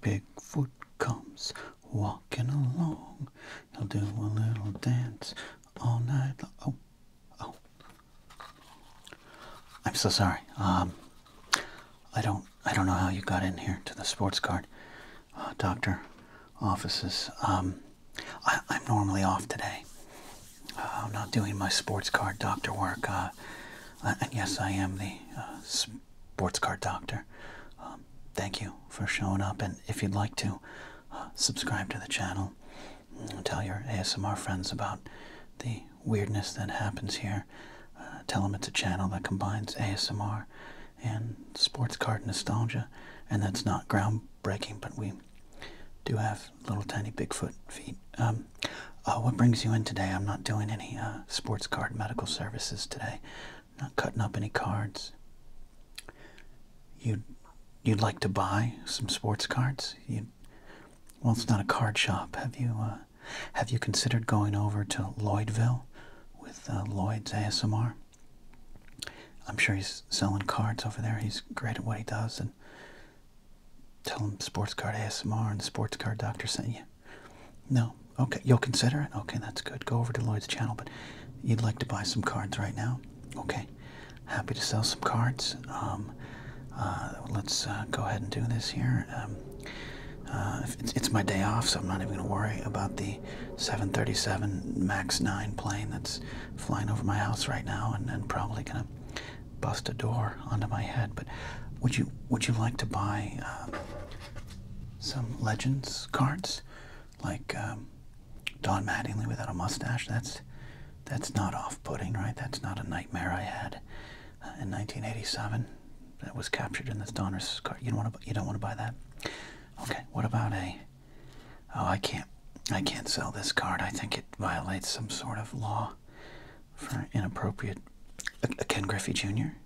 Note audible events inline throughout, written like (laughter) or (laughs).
Bigfoot comes walking along. He'll do a little dance all night. Oh, oh. I'm so sorry. Um, I don't, I don't know how you got in here to the sports card, uh, doctor offices. Um, I, am normally off today. Uh, I'm not doing my sports card doctor work. Uh, and yes, I am the uh, Sports Car Doctor. Um, thank you for showing up, and if you'd like to, uh, subscribe to the channel. Tell your ASMR friends about the weirdness that happens here. Uh, tell them it's a channel that combines ASMR and sports car nostalgia, and that's not groundbreaking, but we do have little tiny Bigfoot feet. Um, uh, what brings you in today? I'm not doing any uh, sports card medical services today. I'm not cutting up any cards. You'd, you'd like to buy some sports cards? You, well, it's not a card shop. Have you, uh, have you considered going over to Lloydville with uh, Lloyd's ASMR? I'm sure he's selling cards over there. He's great at what he does. And tell him sports card ASMR and the sports card doctor sent you. No. Okay, you'll consider it. Okay, that's good. Go over to Lloyd's channel, but you'd like to buy some cards right now. Okay, happy to sell some cards. Um, uh, let's uh, go ahead and do this here. Um, uh, it's, my day off, so I'm not even going to worry about the 737 MAX 9 plane that's flying over my house right now and probably going to bust a door onto my head. But would you would you like to buy um, some Legends cards, like um, Don Mattingly without a mustache? That's that's not off-putting, right? That's not a nightmare I had uh, in 1987. That was captured in this Donner's card. You don't want to. You don't want to buy that. Okay. What about a? Oh, I can't. I can't sell this card. I think it violates some sort of law for inappropriate. Ken Griffey Jr.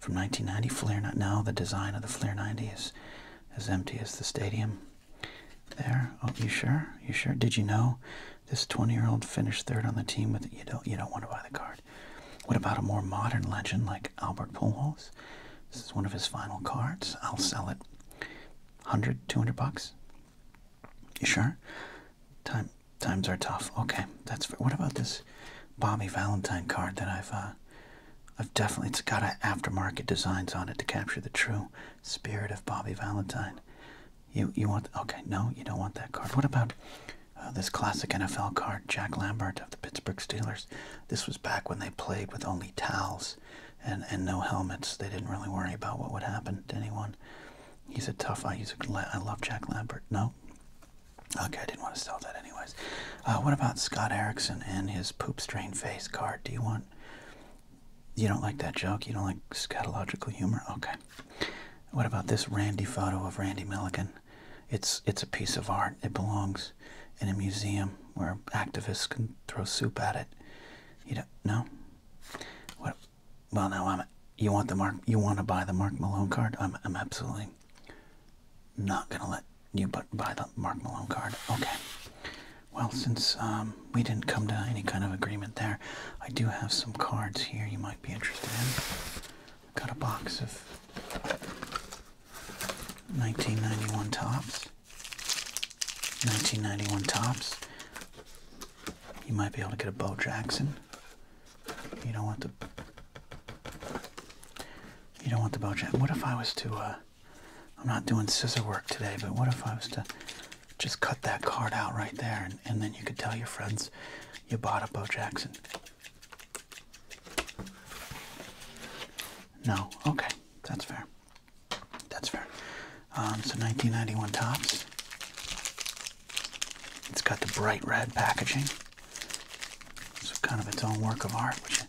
from 1990. Flair not now. The design of the Flair 90 is as empty as the stadium. There. Oh, you sure? You sure? Did you know this 20-year-old finished third on the team with? You don't. You don't want to buy the card. What about a more modern legend like Albert Pujols? This is one of his final cards. I'll sell it. 100, 200 bucks. You sure? Time times are tough. Okay, that's fair. What about this Bobby Valentine card that I've uh, I've definitely it's got a aftermarket designs on it to capture the true spirit of Bobby Valentine. You you want okay? No, you don't want that card. What about uh, this classic NFL card, Jack Lambert of the Pittsburgh Steelers? This was back when they played with only towels and and no helmets. They didn't really worry about what would happen to anyone. He's a tough. Uh, guy. I love Jack Lambert. No. Okay, I didn't want to sell that anyways. Uh, what about Scott Erickson and his poop strain face card? Do you want? You don't like that joke? You don't like scatological humor? Okay. What about this Randy photo of Randy Milligan? It's it's a piece of art. It belongs in a museum where activists can throw soup at it. You don't no. What well, now I'm. You want the Mark? You want to buy the Mark Malone card? I'm. I'm absolutely not gonna let you buy the Mark Malone card. Okay. Well, since um, we didn't come to any kind of agreement there, I do have some cards here you might be interested in. I've got a box of 1991 tops. 1991 tops. You might be able to get a Bo Jackson. You don't want the you don't want the Bo Jackson. What if I was to? Uh, I'm not doing scissor work today, but what if I was to just cut that card out right there, and then you could tell your friends you bought a Bo Jackson. No, okay, that's fair. That's fair. Um, so 1991 tops. It's got the bright red packaging. So kind of its own work of art, which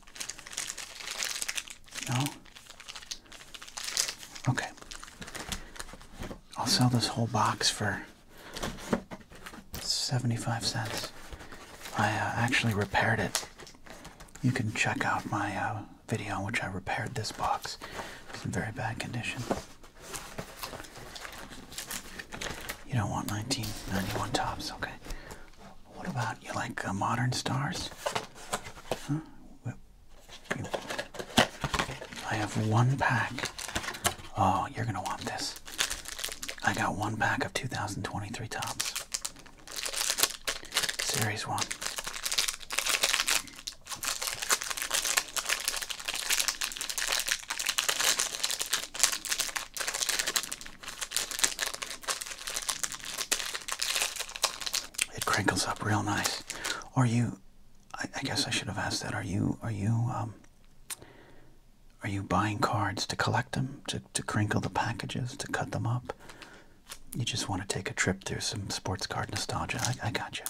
no. Okay. I'll sell this whole box for 75 cents. I uh, actually repaired it. You can check out my uh, video in which I repaired this box. It's in very bad condition. You don't want 1991 tops, okay? What about you like uh, modern stars? Huh? I have one pack. Oh, you're gonna want this. I got one pack of 2023 tops. Series 1. It crinkles up real nice. Are you? I, guess I should have asked that. Are you? Are you? Um, are you buying cards to collect them, to, to crinkle the packages, to cut them up? You just want to take a trip trip through some sports card nostalgia. I, got you.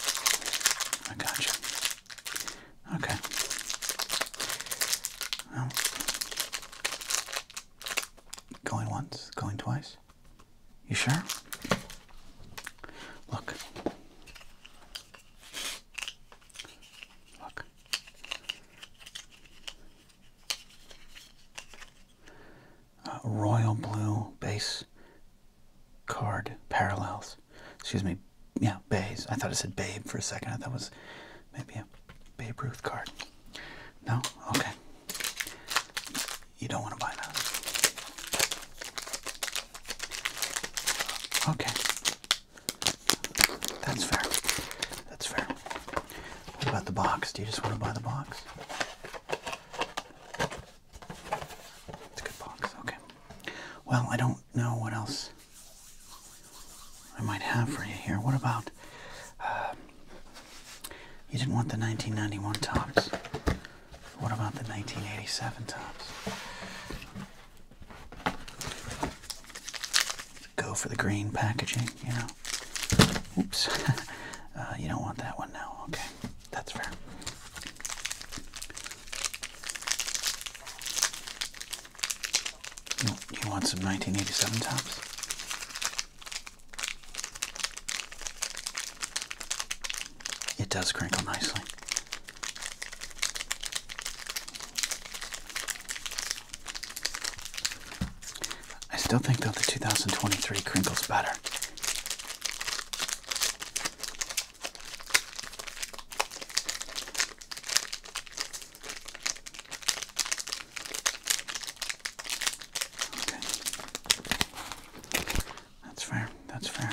I got you. Okay. going once, going twice. You sure? Look. Look royal blue base card parallels. Excuse me, yeah, base. I thought it said Babe for a second. I thought it was maybe a Babe Ruth card. No? Okay. You don't want to buy that. Okay. That's fair. That's fair. What about the box? Do you just want to buy the box? It's a good box. Okay. Well, I don't know what else I might have for you here. What about? Uh, you didn't want the 1991 tops. What about the 1987 tops? Go for the green packaging, you know. Oops. (laughs) Uh, you don't want that one now. Okay. That's fair. You, you want some 1987 tops? It does crinkle nicely. I still think though the 2023 crinkles better. Okay. That's fair. That's fair.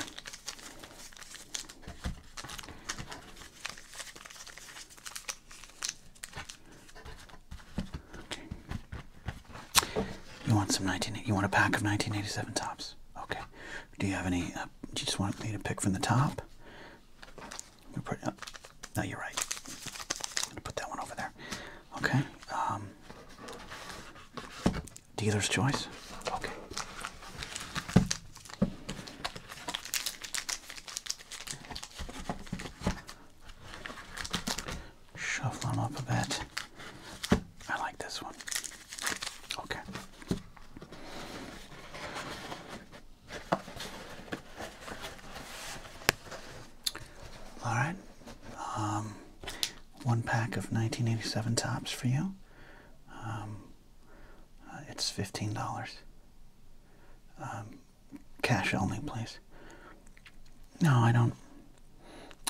You want some 19? You want a pack of 1987 tops? Okay. Do you have any? Uh, do you just want me to pick from the top? You put. Uh, no, you're right. I'm gonna put that one over there. Okay. Um, dealer's choice. Okay shuffle them up a bit. I like this one. Okay. All right. Um, one pack of 1987 tops for you. Um, uh, it's fifteen dollars. Um, cash only, please. No, I don't.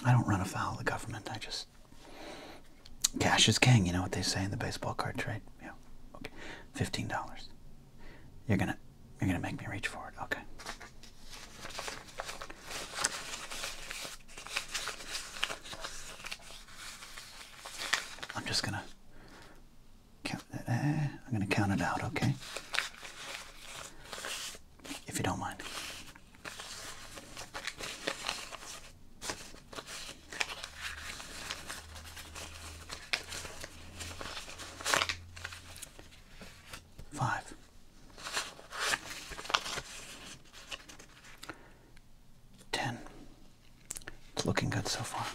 I don't run afoul of the government. I just cash is king. You know what they say in the baseball card trade. Yeah. Okay. Fifteen dollars. You're gonna. You're gonna make me reach for it. Okay. I'm just gonna. Count, uh, I'm gonna count it out. Okay if you don't mind. Five. It's looking good so far.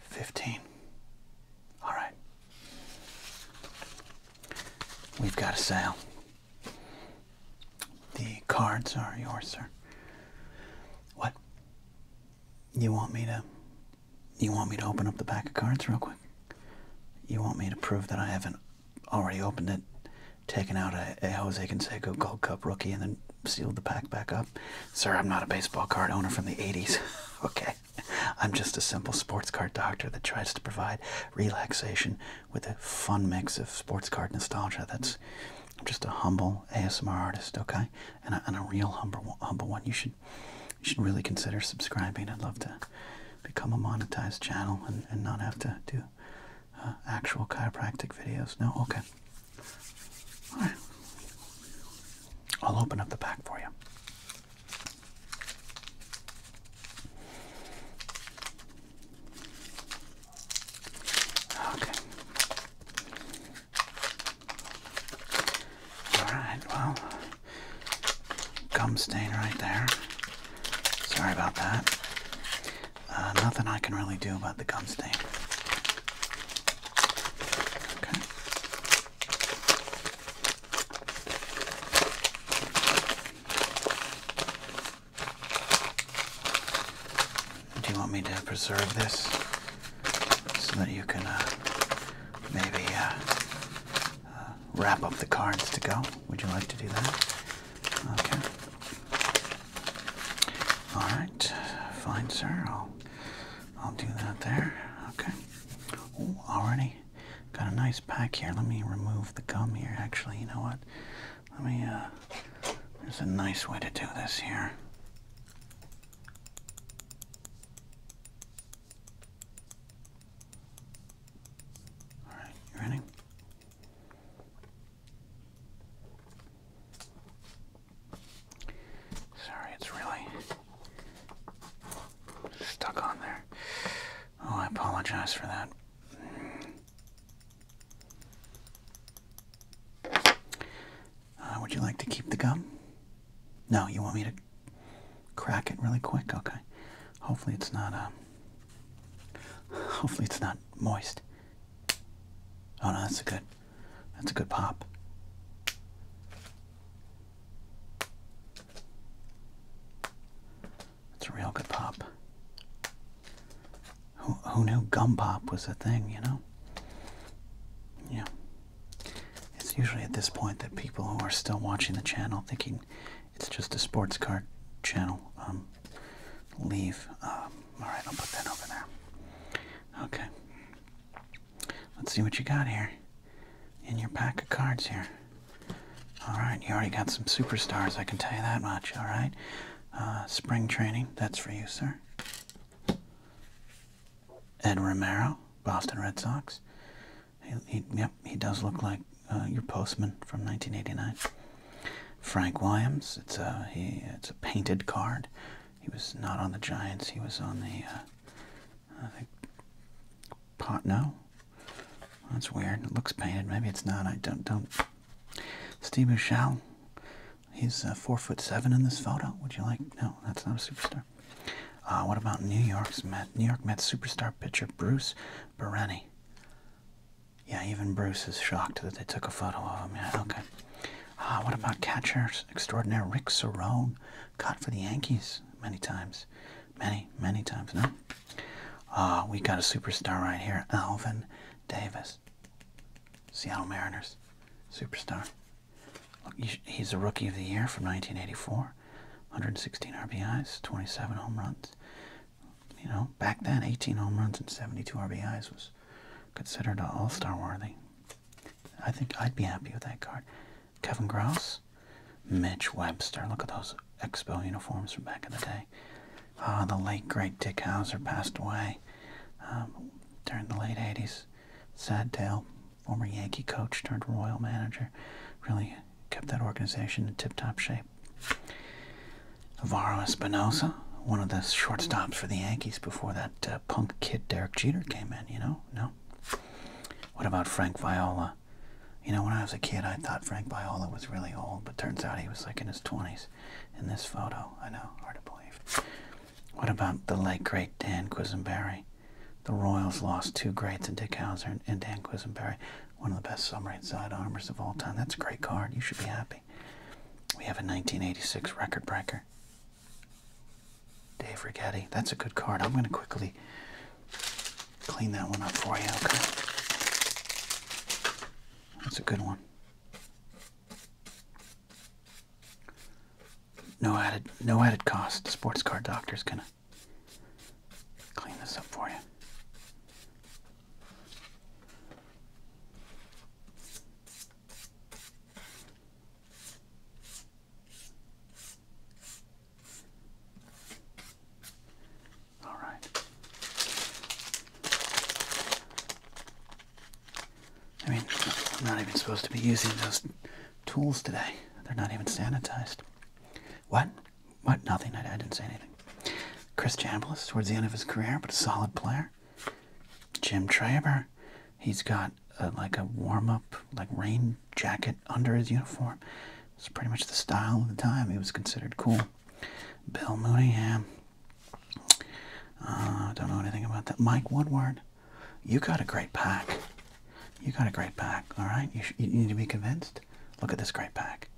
15. All right. We've got a sale. The cards are yours, sir. What? You want me to you want me to open up the pack of cards real quick? You want me to prove that I haven't already opened it, taken out a, a Jose Canseco Gold Cup rookie, and then sealed the pack back up. Sir, I'm not a baseball card owner from the 80s. (laughs) okay. I'm just a simple sports card doctor that tries to provide relaxation with a fun mix of sports card nostalgia. That's just a humble ASMR artist, okay? And a, and a real humble, humble one. You should, you should really consider subscribing. I'd love to become a monetized channel and, and not have to do uh, actual chiropractic videos. No? Okay. All right. I'll open up the pack for you. Okay. Alright, well, gum stain right there. Sorry about that. Uh, nothing I can really do about the gum stain. Do you want me to preserve this so that you can uh, maybe uh, uh, wrap up the cards to go? Would you like to do that? Okay. All right, fine, sir. I'll I'll do that there. Okay. already got a nice pack here. Let me remove the gum here. Actually, you know what? Let me. Uh, there's a nice way to do this here. All right, you ready? Sorry, it's really stuck on there. Oh, I apologize for that. Uh, would you like to keep the gum? No, you want me to crack it really quick? Okay. Hopefully it's not, uh, hopefully it's not moist. Oh no, that's a good, that's a good pop. That's a real good pop. Who, who knew gum pop was a thing, you know? Yeah. It's usually at this point that people who are still watching the channel thinking it's just a sports car channel um, leave. Um, all right, I'll put that over there. Okay. Let's see what you got here in your pack of cards here. All right, you already got some superstars, I can tell you that much, all right? Uh, spring training, that's for you, sir. Ed Romero, Boston Red Sox. He, yep, he does look like uh, your postman from 1989. Frank Williams. It's a he. It's a painted card. He was not on the Giants. He was on the. Uh, I think. Pot no. That's weird. It looks painted. Maybe it's not. I don't don't. Steve Bouchel. He's uh, four foot seven in this photo. Would you like? No, that's not a superstar. Uh, what about New York's New York Mets superstar pitcher Bruce Bereni? Yeah, even Bruce is shocked that they took a photo of him. Yeah, okay. Uh, what about catcher extraordinaire Rick Cerrone? Caught for the Yankees many times. Many, many times, no? Uh, we got a superstar right here. Alvin Davis. Seattle Mariners. Superstar. Look, he's a Rookie of the Year from 1984. 116 RBIs, 27 home runs, you know, back then 18 home runs and 72 RBIs was considered all-star worthy. I think I'd be happy with that card. Kevin Gross, Mitch Webster. Look at those Expo uniforms from back in the day. Ah, the late great Dick Hauser passed away um, during the late 80s. Sad tale. Former Yankee coach turned Royal manager. Really kept that organization in tip-top shape. Alvaro Espinosa, one of the shortstops for the Yankees before that uh, punk kid Derek Jeter came in, you know? No? What about Frank Viola? You know, when I was a kid, I thought Frank Viola was really old, but turns out he was like in his 20s in this photo. I know, hard to believe. What about the late, great Dan Quisenberry? The Royals lost two greats in Dick Hauser and Dan Quisenberry, one of the best submarine side of all time. That's a great card. You should be happy. We have a 1986 record breaker. Dave Rigetti. That's a good card. I'm going to quickly clean that one up for you, okay? That's a good one. No added, no added cost. Sports card doctor's gonna clean this up for you. All right. I mean, I'm not even supposed to be using those tools today. They're not even sanitized. What? What? Nothing. I, didn't say anything. Chris Chambliss, towards the end of his career, but a solid player. Jim Traber, he's got uh, like a warm up, like rain jacket under his uniform. It's pretty much the style of the time. He was considered cool. Bill Mooneyham, uh, I don't know anything about that. Mike Woodward, you got a great pack. You got a great pack, all right? you need to be convinced. Look at this great pack.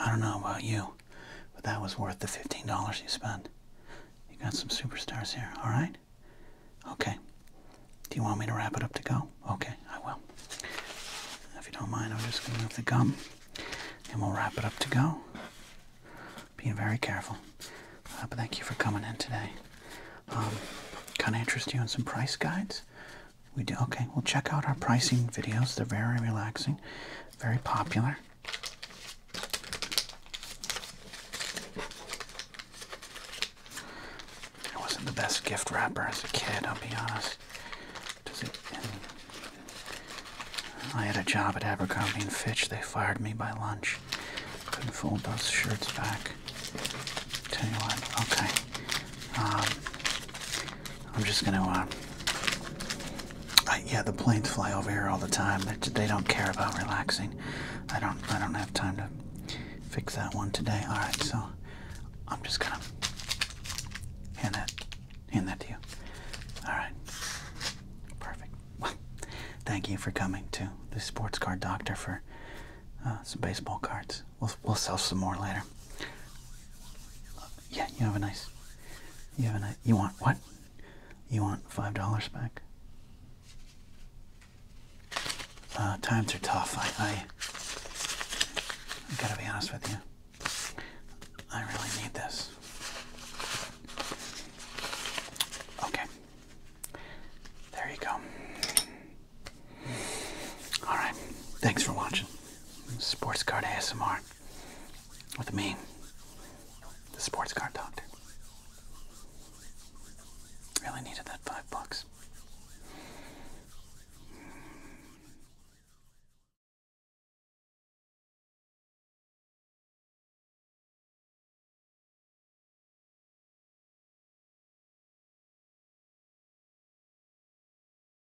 I don't know about you, but that was worth the $15 you spent. You got some superstars here, alright? Okay. Do you want me to wrap it up to go? Okay, I will. If you don't mind, I'm just going to move the gum and we'll wrap it up to go. Being very careful. Uh, but thank you for coming in today. kind um, of interest you in some price guides? We do. Okay, we'll check out our pricing videos. They're very relaxing very popular. I wasn't the best gift wrapper as a kid, I'll be honest. Does it, I had a job at Abercrombie and Fitch. They fired me by lunch. Couldn't fold those shirts back. Tell you what, okay. Um, I'm just gonna. Uh, yeah, the planes fly over here all the time. they do not care about relaxing. I don't. I don't have time to fix that one today. All right, so I'm just gonna hand that hand that to you. All right, perfect. Well, thank you for coming to the sports card doctor for uh, some baseball cards. We'll we'll sell some more later. Yeah, you have a nice. You have a nice. You want what? You want five dollars back? Uh, times are tough. I, I, gotta be honest with you. I really need this. Okay. There you go. Alright. Thanks for watching. Sports Card ASMR. With me, the sports car doctor. Really needed that five bucks.